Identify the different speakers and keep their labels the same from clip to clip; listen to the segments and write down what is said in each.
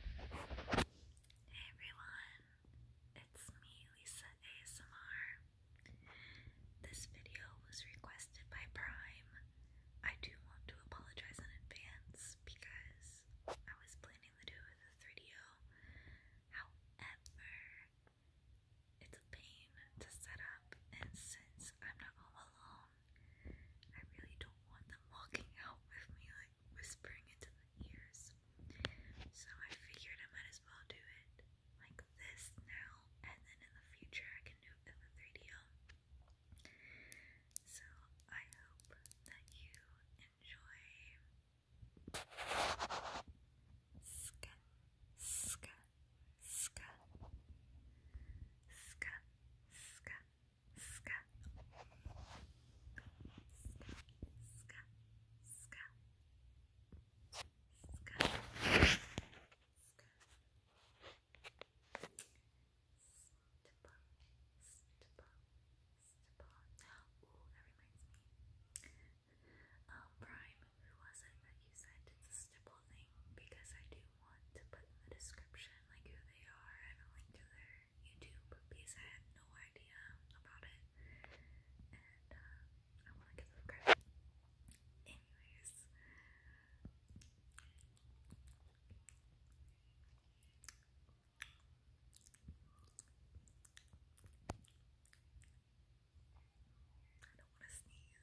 Speaker 1: Hey everyone, it's me Lisa ASMR. This video was requested by Prime. I do want to apologize in advance because I was planning to do the 3 However, it's a pain to set up, and since I'm not all alone, I really don't want them walking out with me whispering into the ears. So I figured I might as well do it like this now, and then in the future I can do it in the 3 d So I hope that you enjoy. Ska, ska, ska, ska, ska, ska, ska, ska, ska, ska. Stipple, stipple, stipple. Ooh, that reminds me. Prime, who was it that you said did the stipple thing? Because I do want to put in the description like who they are and a link to their YouTube because I had no idea about it. And uh, I want to give them credit. Anyways. I don't want to sneeze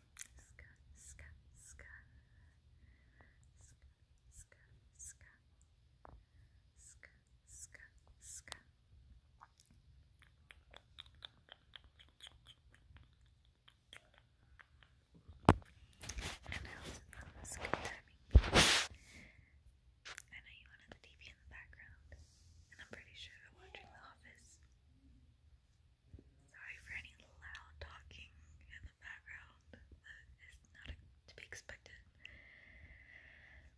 Speaker 1: Ska, ska, ska. Ska, ska, ska. Ska, ska, ska. And I I know you wanted the TV in the background, and I'm pretty sure you're watching The Office. Sorry for any loud talking in the background. That is not to be expected.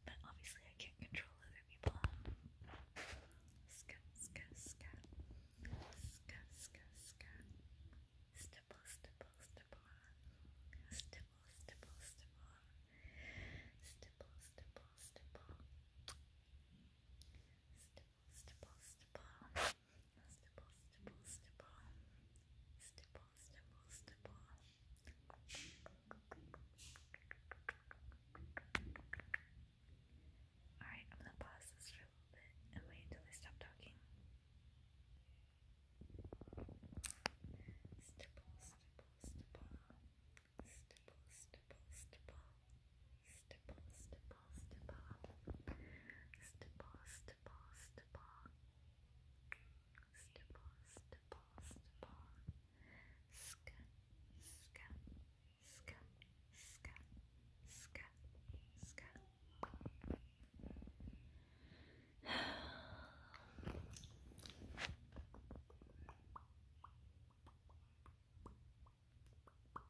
Speaker 1: But obviously, I can't control other people. Scat, scat, scat. Scat, scat, scat. Stipple, Stipple, stipple, stipple. Stipple, stipple, stipple. Stipple, stipple, stipple, stipple, stipple, stipple, stipple, stipple, stipple. Alright, I'm gonna pause this for a little bit and wait until they stop talking. Stipple, stipple, stipple, stipple, stipple, stipple stipple, stipple, stipple, stipple, stipple, stipple, stipple, stipple, stipple, ska, ska, ska, ska, ska, ska. Good.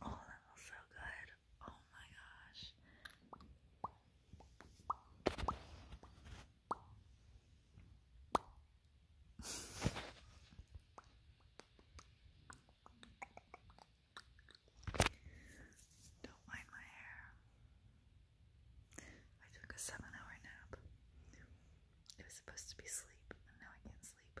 Speaker 1: Oh, that was so good. Oh my gosh. Don't mind my hair. I took a seven hour nap. It was supposed to be sleep, and now I can't sleep.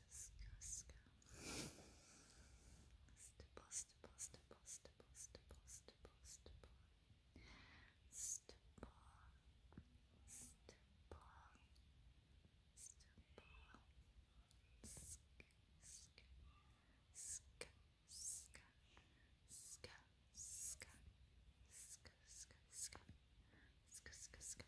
Speaker 1: Stipple, stipple, stipple, stipple, stipple, stipple, stipple. Stipple, stipple, stipple. Sk, sk, sk, sk, sk, sk, sk, sk, sk, sk, sk, sk,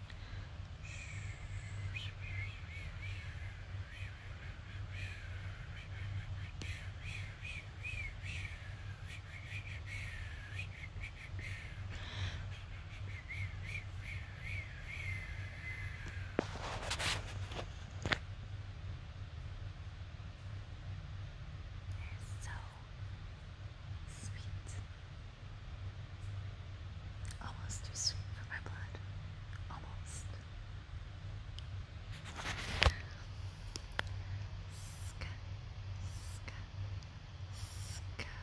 Speaker 1: so sweet. Almost too sweet for my blood. Almost. Ska, ska, ska.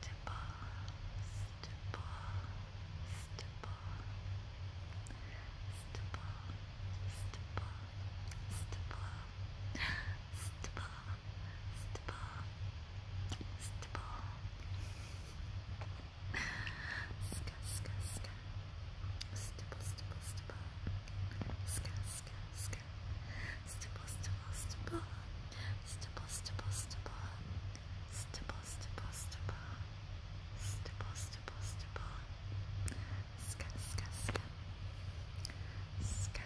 Speaker 1: Stipple, stipple, stipple stipple, stipple, ska, ska, ska, stipple, stipple, stipple, ska, ska, ska, stipple, stipple, stipple, stipple, stipple, stipple, stipple, stipple, stipple, stipple, stipple, stipple, ska, ska, ska, ska,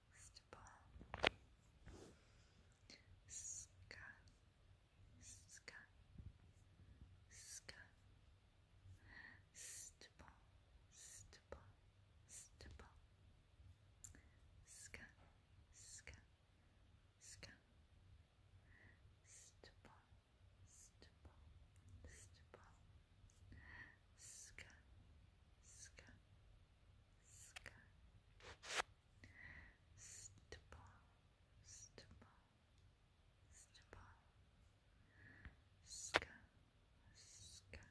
Speaker 1: Stubble. Ska. Ska. Ska. Stubble. Stubble. Stubble. Ska. Ska. Ska. Stubble. Stubble. Stubble. Ska. Ska. Ska. Stipple, stipple, stipple. Ska, ska, ska.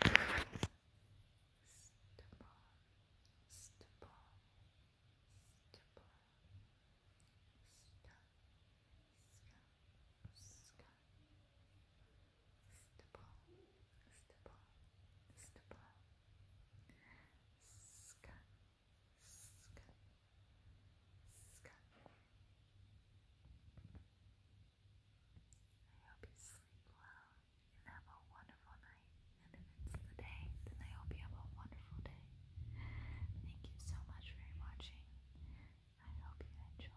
Speaker 1: Stipple, I hope you sleep well and have a wonderful night. And if it's the day, then I hope you have a wonderful day. Thank you so much for watching. I hope you enjoyed.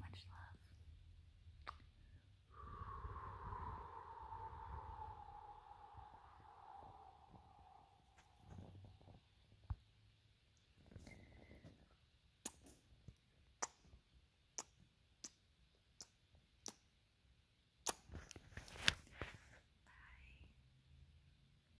Speaker 1: Much love. Bye.